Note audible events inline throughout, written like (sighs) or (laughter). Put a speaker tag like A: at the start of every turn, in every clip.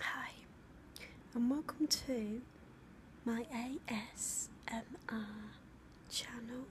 A: Hi, and welcome to my ASMR channel.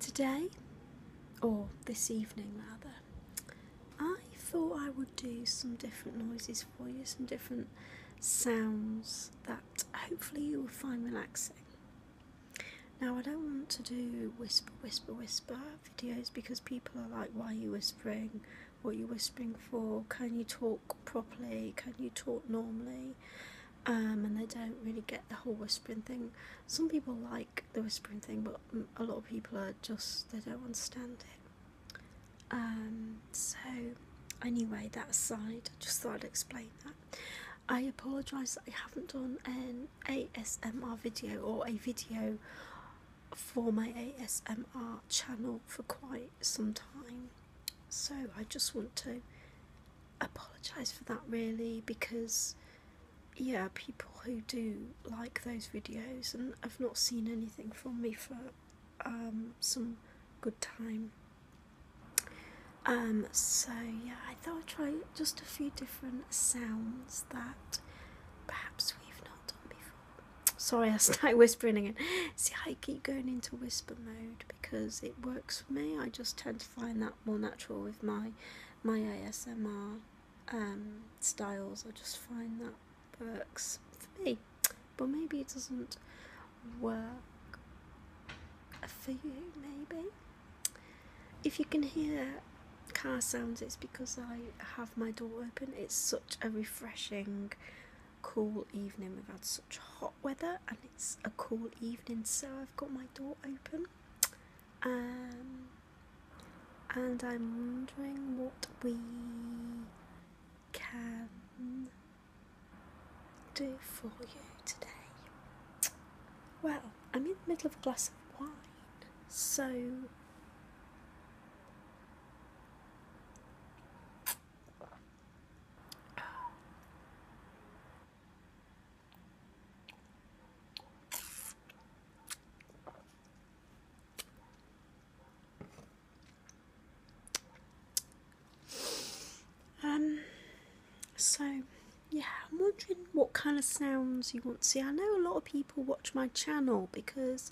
A: Today, or this evening rather, I thought I would do some different noises for you, some different sounds that hopefully you will find relaxing. Now, I don't want to do whisper, whisper, whisper videos because people are like, why are you whispering? What are you whispering for? Can you talk properly? Can you talk normally? Um, and they don't really get the whole whispering thing. Some people like the whispering thing, but a lot of people are just, they don't understand it. Um, so, anyway, that aside, I just thought I'd explain that. I apologise that I haven't done an ASMR video or a video for my ASMR channel for quite some time. So I just want to apologise for that really because yeah people who do like those videos and I've not seen anything from me for um, some good time. Um, so yeah, I thought I'd try just a few different sounds that perhaps we've not done before. Sorry, I start (laughs) whispering again. See, I keep going into whisper mode because it works for me. I just tend to find that more natural with my my ASMR um, styles. I just find that works for me, but maybe it doesn't work for you. Maybe. If you can hear car sounds, it's because I have my door open. It's such a refreshing, cool evening. We've had such hot weather, and it's a cool evening, so I've got my door open. Um, and I'm wondering what we can do for you today. Well, I'm in the middle of a glass of wine, so um so yeah, I'm wondering what kind of sounds you want to see. I know a lot of people watch my channel because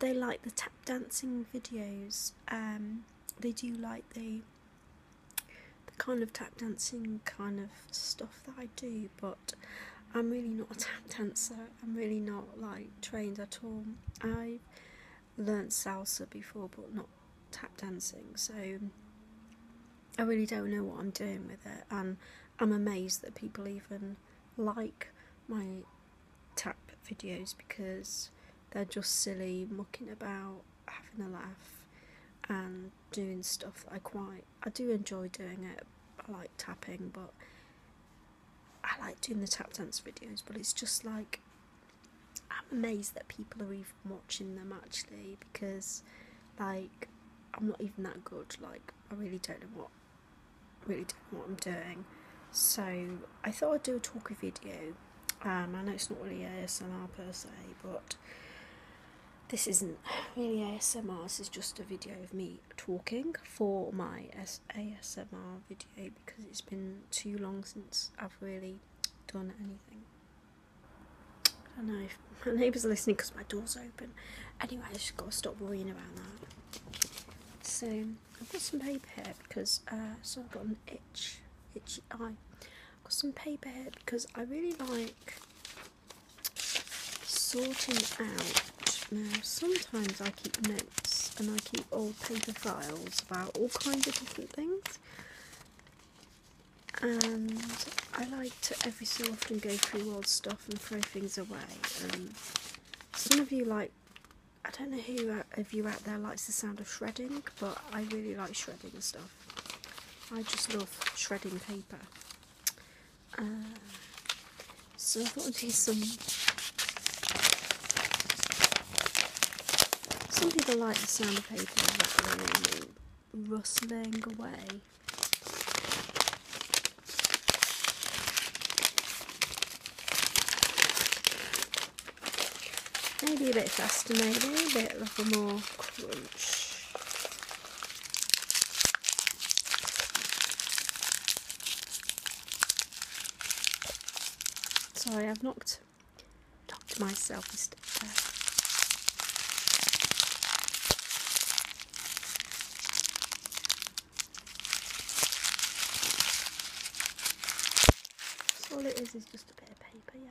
A: they like the tap dancing videos. Um, they do like the the kind of tap dancing kind of stuff that I do, but I'm really not a (laughs) tap dancer. I'm really not like trained at all. I've learned salsa before, but not tap dancing, so I really don't know what I'm doing with it, and I'm amazed that people even like my tap videos because they're just silly, mucking about, having a laugh, and doing stuff that I quite I do enjoy doing it. I like tapping, but I like doing the tap dance videos, but it's just like I'm amazed that people are even watching them actually because, like, I'm not even that good. Like, I really don't know what, really don't know what I'm doing. So I thought I'd do a talky video. Um, I know it's not really ASMR per se, but this isn't really ASMR. This is just a video of me talking for my ASMR video because it's been too long since I've really done anything. I don't know if my neighbours are listening because my door's open. Anyway, I just got to stop worrying about that. So I've got some paper here because uh, so I've got an itch, itchy eye. I've got some paper here because I really like sorting out. Now sometimes I keep notes and I keep old paper files about all kinds of different things and I like to every so often go through old stuff and throw things away. Um, some of you like, I don't know who of you out there likes the sound of shredding, but I really like shredding stuff. I just love shredding paper. Uh, so I some some people like the sound of paper rustling away. Maybe a bit faster, maybe a bit like a more crunch. sorry I've knocked Talk to myself instead. So all it is is just a bit of paper, yeah.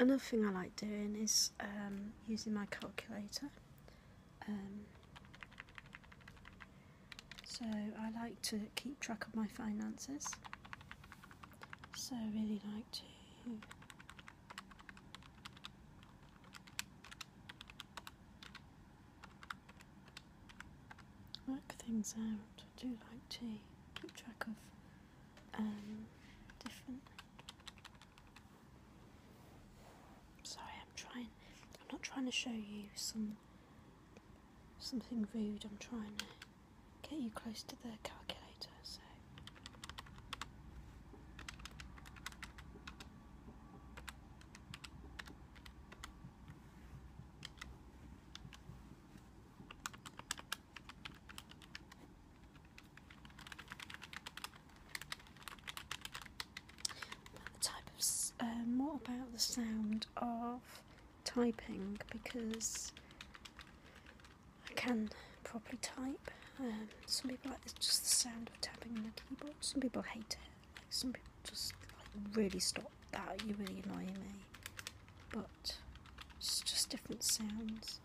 A: Another thing I like doing is um, using my calculator. Um, so I like to keep track of my finances. So I really like to Work things out. I do like to keep track of um, different. Sorry, I'm trying. I'm not trying to show you some something rude. I'm trying to get you close to the calculator. So the type of more um, about the sound of typing because I can properly type. Um, some people like this, just the sound of tapping the keyboard some people hate it. Like some people just like really stop that. You really annoy me. But it's just different sounds,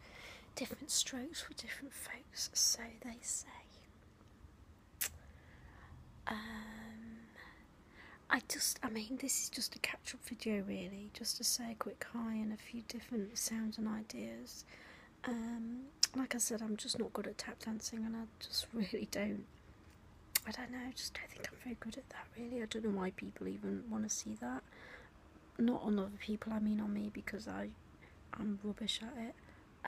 A: different strokes for different folks. So they say. Um, I just, I mean, this is just a catch-up video, really, just to say a quick hi and a few different sounds and ideas. Um, like I said, I'm just not good at tap dancing, and I just (laughs) really don't. I don't know. just don't think I'm very good at that. Really, I don't know why people even want to see that. Not on other people. I mean on me because I, I'm rubbish at it.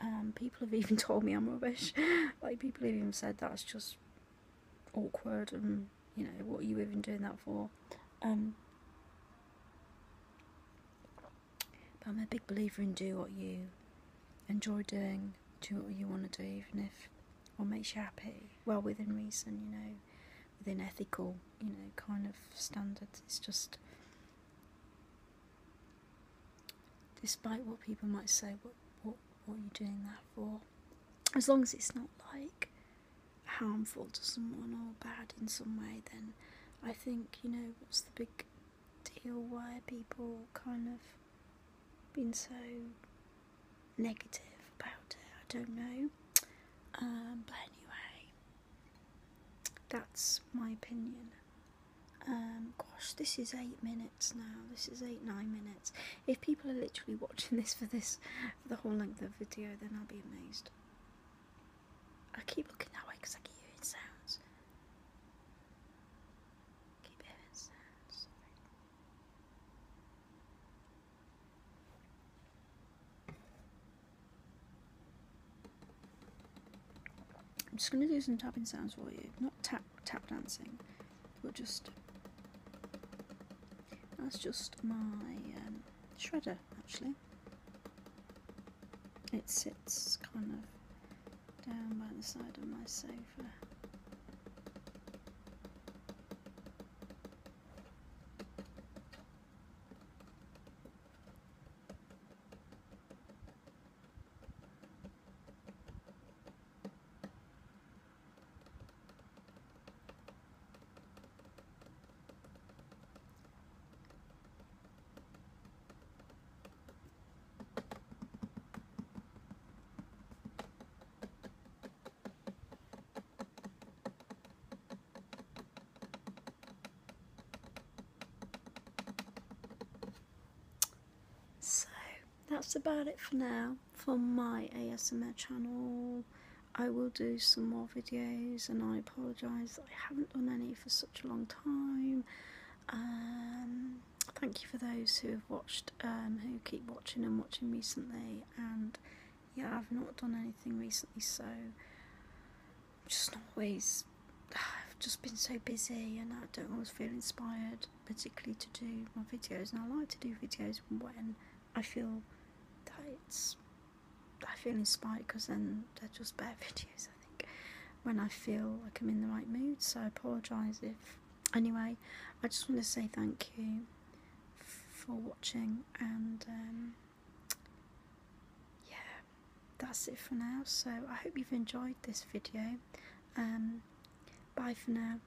A: Um, people have (laughs) even told me I'm rubbish. (laughs) like people have even said that's just awkward and you know what are you even doing that for. Um, but I'm a big believer in do what you enjoy doing, do what you want to do, even if it makes you happy. Well, within reason, you know, within ethical, you know, kind of standards. It's just, despite what people might say, what what what are you doing that for? As long as it's not like harmful to someone or bad in some way, then I think you know what's the big deal why people kind of been so negative about it. I don't know. Um, but anyway, that's my opinion. Um, gosh, this is eight minutes now. This is eight, nine minutes. If people are literally (laughs) watching this for this, for the whole length of the video, then I'll be amazed. I keep looking that way because I keep hearing sounds. Keep hearing sounds. I'm just gonna do some tapping sounds for you. Not tap tap dancing, but just that's just my um, shredder actually. It sits kind of down by the side of my sofa. So that's about it for now for my ASMR channel. I will do some more videos, and I apologise I haven't done any for such a long time. Um, thank you for those who have watched, um, who keep watching and watching recently. And yeah, I've not done anything recently, so just not always. (sighs) I've just been so busy, and I don't always feel inspired, particularly to do my videos. And I like to do videos when I feel that it's I feel inspired because then they're just better (laughs) videos, I think, when I feel like I'm in the right mood. So I apologise if. Anyway, I just want to say thank you for watching and um, yeah, that's it for now. So I hope you've enjoyed this video. Um, bye for now.